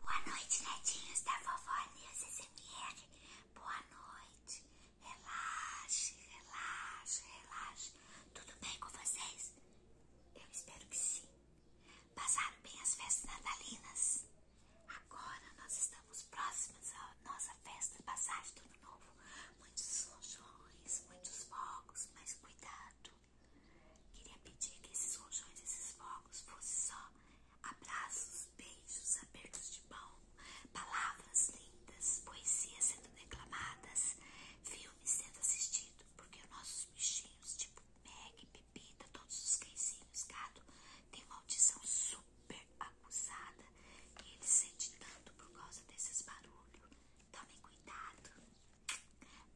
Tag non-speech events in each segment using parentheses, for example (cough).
Boa noite, netinhos da vovó News SMR. Boa noite. Relaxe, relaxe, relaxe. Tudo bem com vocês? Eu espero que sim. Passaram bem as festas natalinas? Agora nós estamos próximas à nossa festa de passagem do ano novo. Muitos rojões, muitos fogos, mas cuidado. Queria pedir que esses rojões, esses fogos fossem só Abraços, beijos, apertos de mão, palavras lindas, poesias sendo declamadas, filmes sendo assistidos, porque nossos bichinhos, tipo Meg, Pepita, todos os cãezinhos, gato, têm uma audição super acusada e eles sentem tanto por causa desses barulhos. Tomem cuidado.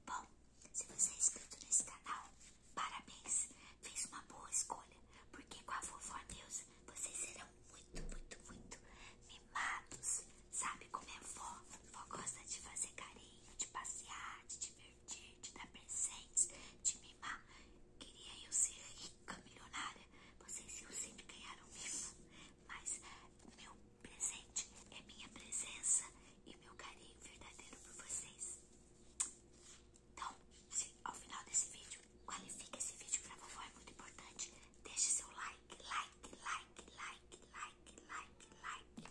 Bom, se você é inscrito nesse canal, parabéns! Fez uma boa escolha, porque com a vovó deusa vocês serão muito, muito, muito mimados. Sabe como é vó? Vó gosta de fazer carinho, de passear, de divertir, de dar presentes, de mimar. Queria eu ser rica, milionária. Vocês eu sempre ganhar isso. mimo, mas meu presente é minha presença e meu carinho verdadeiro por vocês. Então, ao final desse vídeo, qualifica esse vídeo pra vovó, é muito importante. Deixe seu like, like, like, like, like, like, like.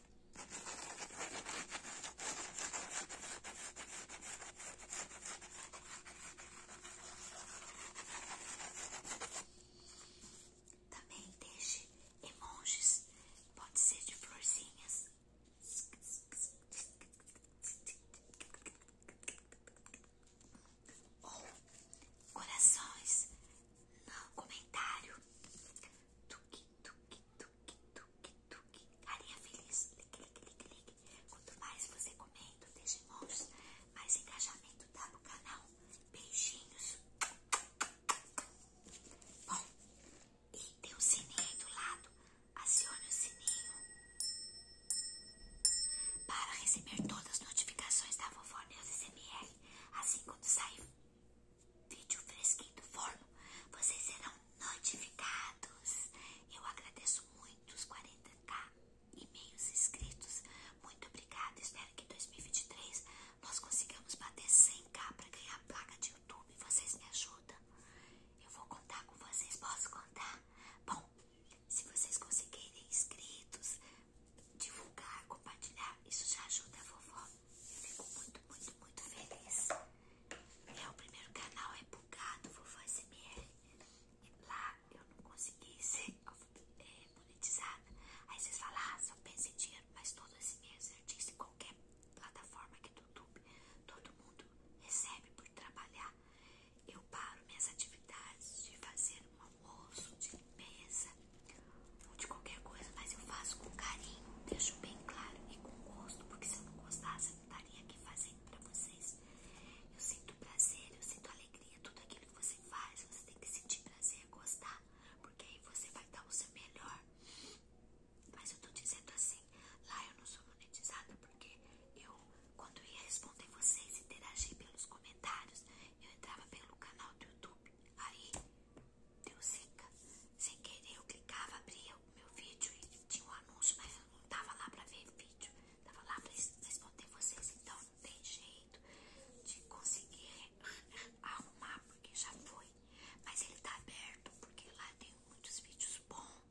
Também deixe emojis, pode ser de florzinhas corações no comentário. Tuque, tuque, tuque, tuque, tuque. Carinha feliz. Clique, clique, clique, clique. Quanto mais você comenta, deixa mãos, mais engajamento dá no canal. Beijinhos. E tem um sininho aí do lado. Acione o sininho para receber todas as notificações da vovó Neus SMR. Assim, quando sair vídeo fresquinho do forno, vocês serão notificados. Eu agradeço muito os 40k e meios inscritos. Muito obrigada. Espero que em 2023 nós consigamos bater 100k para ganhar a placa de YouTube. Vocês me ajudam. Eu vou contar com vocês, posso contar? Bom, se vocês conseguirem inscritos, divulgar, compartilhar, isso já ajuda a vovó. Eu fico muito, muito, muito feliz. É o primeiro canal, é bugado, vovó SML. Lá eu não consegui ser (laughs) é, monetizada. Aí vocês falam, ah, só pensa dinheiro, mas todo esse mês eu disse qualquer plataforma que Todo mundo recebe por trabalhar. Eu paro minhas atividades de fazer um almoço, de limpeza, ou de qualquer coisa, mas eu faço com carinho, deixo bem claro e com gosto, porque se eu não gostasse, eu não estaria aqui fazendo para vocês. Eu sinto prazer, eu sinto alegria, tudo aquilo que você faz, você tem que sentir prazer, gostar, porque aí você vai dar o seu melhor. Mas eu tô dizendo assim, lá eu não sou monetizada porque eu, quando ia responder vocês, interagir pelos comentários, eu entrava pelo canal do YouTube. Aí deu seca, Sem querer eu clicava, abria o meu vídeo e tinha um anúncio, mas eu não tava lá pra ver vídeo, tava lá pra responder vocês, então não tem jeito de conseguir arrumar, porque já foi. Mas ele tá aberto porque lá tem muitos vídeos bons.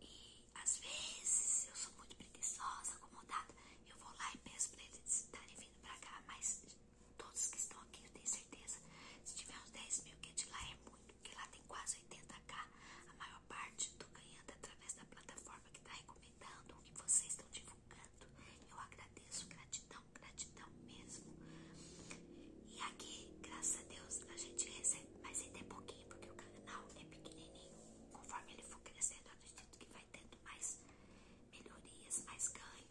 E às vezes eu sou muito preguiçosa, acomodada. Eu vou lá e peço pra eles estarem vindo pra cá. Mas todos que estão aqui, eu tenho certeza. Se tiver uns 10 mil, que é de lá é muito, porque lá tem quase 80k. A maior parte tô ganhando através da plataforma que tá recomendando, que vocês estão divulgando. Eu agradeço, gratidão, gratidão gratidão mesmo. E aqui, graças a Deus, a gente recebe, mas ainda é pouquinho, porque o canal é pequenininho. Conforme ele for crescendo, eu acredito que vai tendo mais melhorias, mais ganho,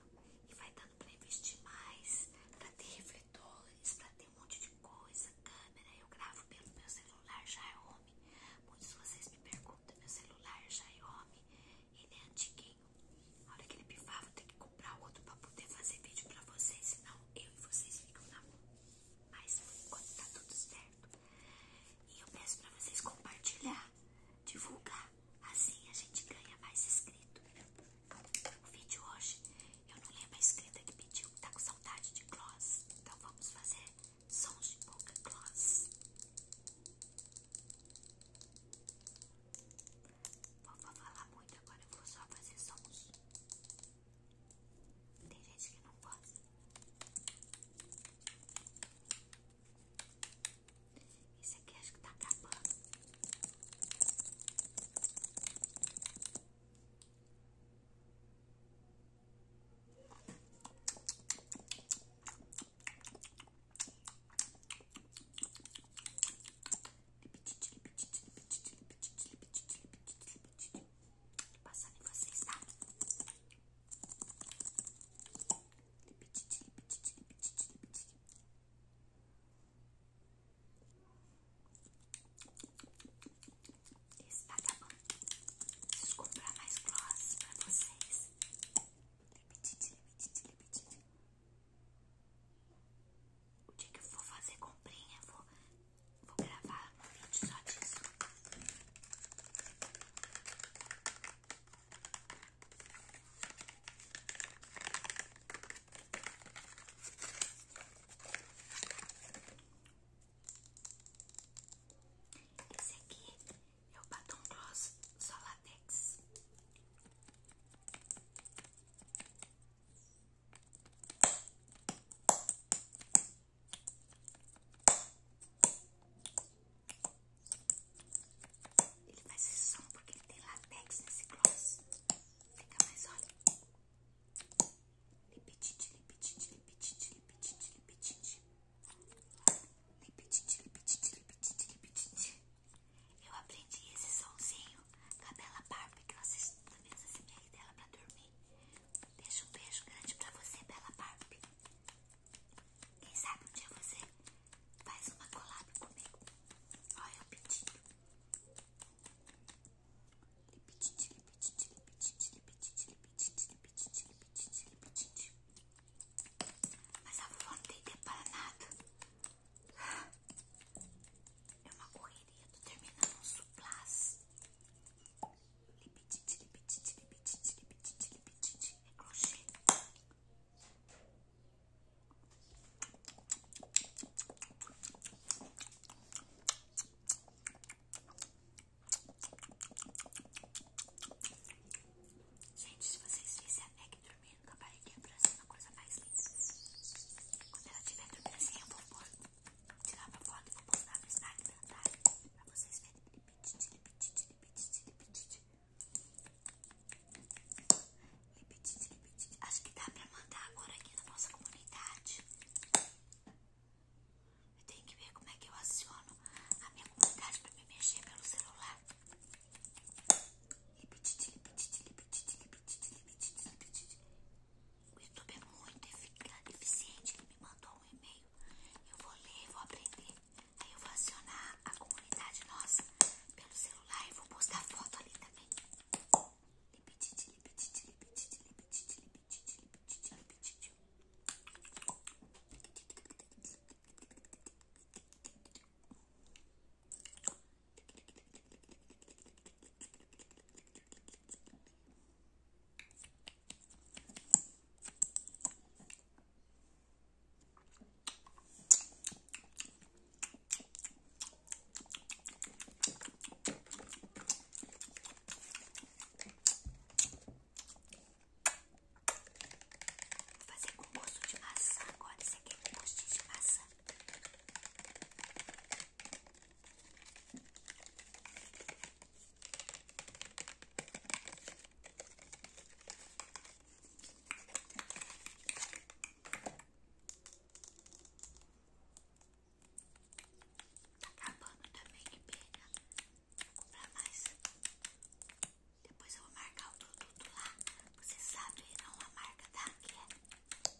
e vai dando para investir mais, para ter refletores, para ter um monte de coisa, câmera. Eu gravo pelo meu celular já é home. Muitos de vocês me perguntam, meu celular já é home, ele é antiguinho. Olha que ele pifava, eu tenho que comprar outro pra poder fazer vídeo pra vocês, senão eu e vocês ficam na mão. Mas por enquanto tá tudo certo. E eu peço pra vocês compartilhar, divulgar, assim a gente ganha mais inscrito. O vídeo hoje, eu não lembro a inscrita que pediu, que tá com saudade de gloss. Então vamos fazer sons de boca gloss. Não vou falar muito agora, eu vou só fazer sons. Tem gente que não gosta. Isso aqui acho que tá acabando. Passando em vocês, tá? Esse tá, tá acabando. Preciso comprar mais gloss pra vocês. Lipitite, lipitite, o dia que eu for fazer comprinha, vou, gravar um vídeo só disso. Esse aqui é o batom gloss só latex. Ele faz esse som porque ele tem latex nesse gloss. Fica mais olha. Lipitite, lipitite, lipitite, lipitite, lipitite. Lipitite, lipitite, lipitite, lipitite. Eu aprendi esse sonzinho da Bela Barbie, que eu assisto mesa as e dela pra dormir. Deixa um beijo grande pra você, Bela Barbie. Quem sabe um dia você faz uma collab comigo. Olha o pedido. Lipitite, lipitite, lipitite, lipitite, lipitite, lipitite, lipitite, lipitite. Mas a vovó não tem tempo é para nada. É uma correria, tô terminando um suplás. Lipitite, lipitite, lipitite, lipitite, lipitite. É crochê. Gente, se vocês vissem a Meg dormindo com a barriguinha pra cima, coisa mais linda. Quando ela tiver dormindo assim, eu vou pôr, tirar a foto e vou postar no Instagram, tá? Pra vocês verem. Lipitite, lipitite, lipitite, lipitite. Lipitite, lipitite. Acho que dá pra mandar agora aqui na nossa comunidade. Eu tenho que ver como é que eu aciono a minha comunidade pra me mexer pelo celular. Lipitite, lipitite, lipitite, o é muito eficiente que me mandou um e-mail. Eu vou ler, vou aprender. Aí eu vou acionar a comunidade nossa pelo celular e vou postar foto ali também. Vou fazer com gosto de maçã agora. Isso aqui é gosto de maçã. Tá acabando também de pena. Vou comprar mais. Depois eu vou marcar o produto lá. Você sabe não a marca da tá? que é.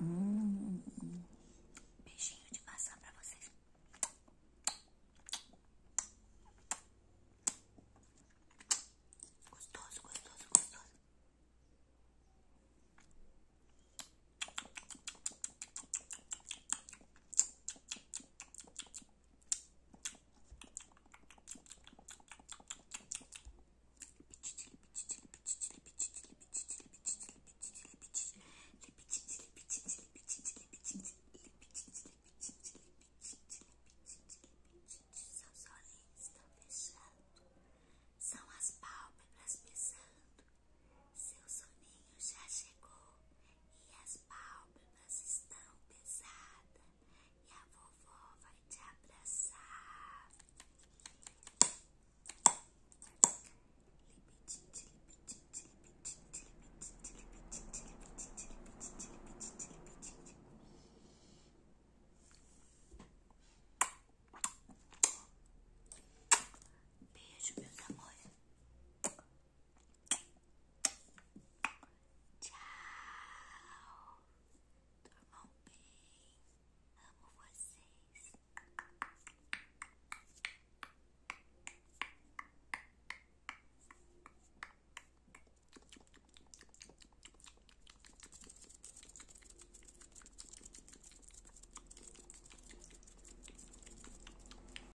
Hum, beijinho de maçã pra vocês. Gostoso, gostoso, gostoso. Seus olhinhos estão fechando, são as pálpebras pesando. Seu soninho já chegou e as suas pálpebras estão pesadas e a vovó vai te abraçar. Beijo, meus amores. Tchau. Dormam bem. Amo vocês.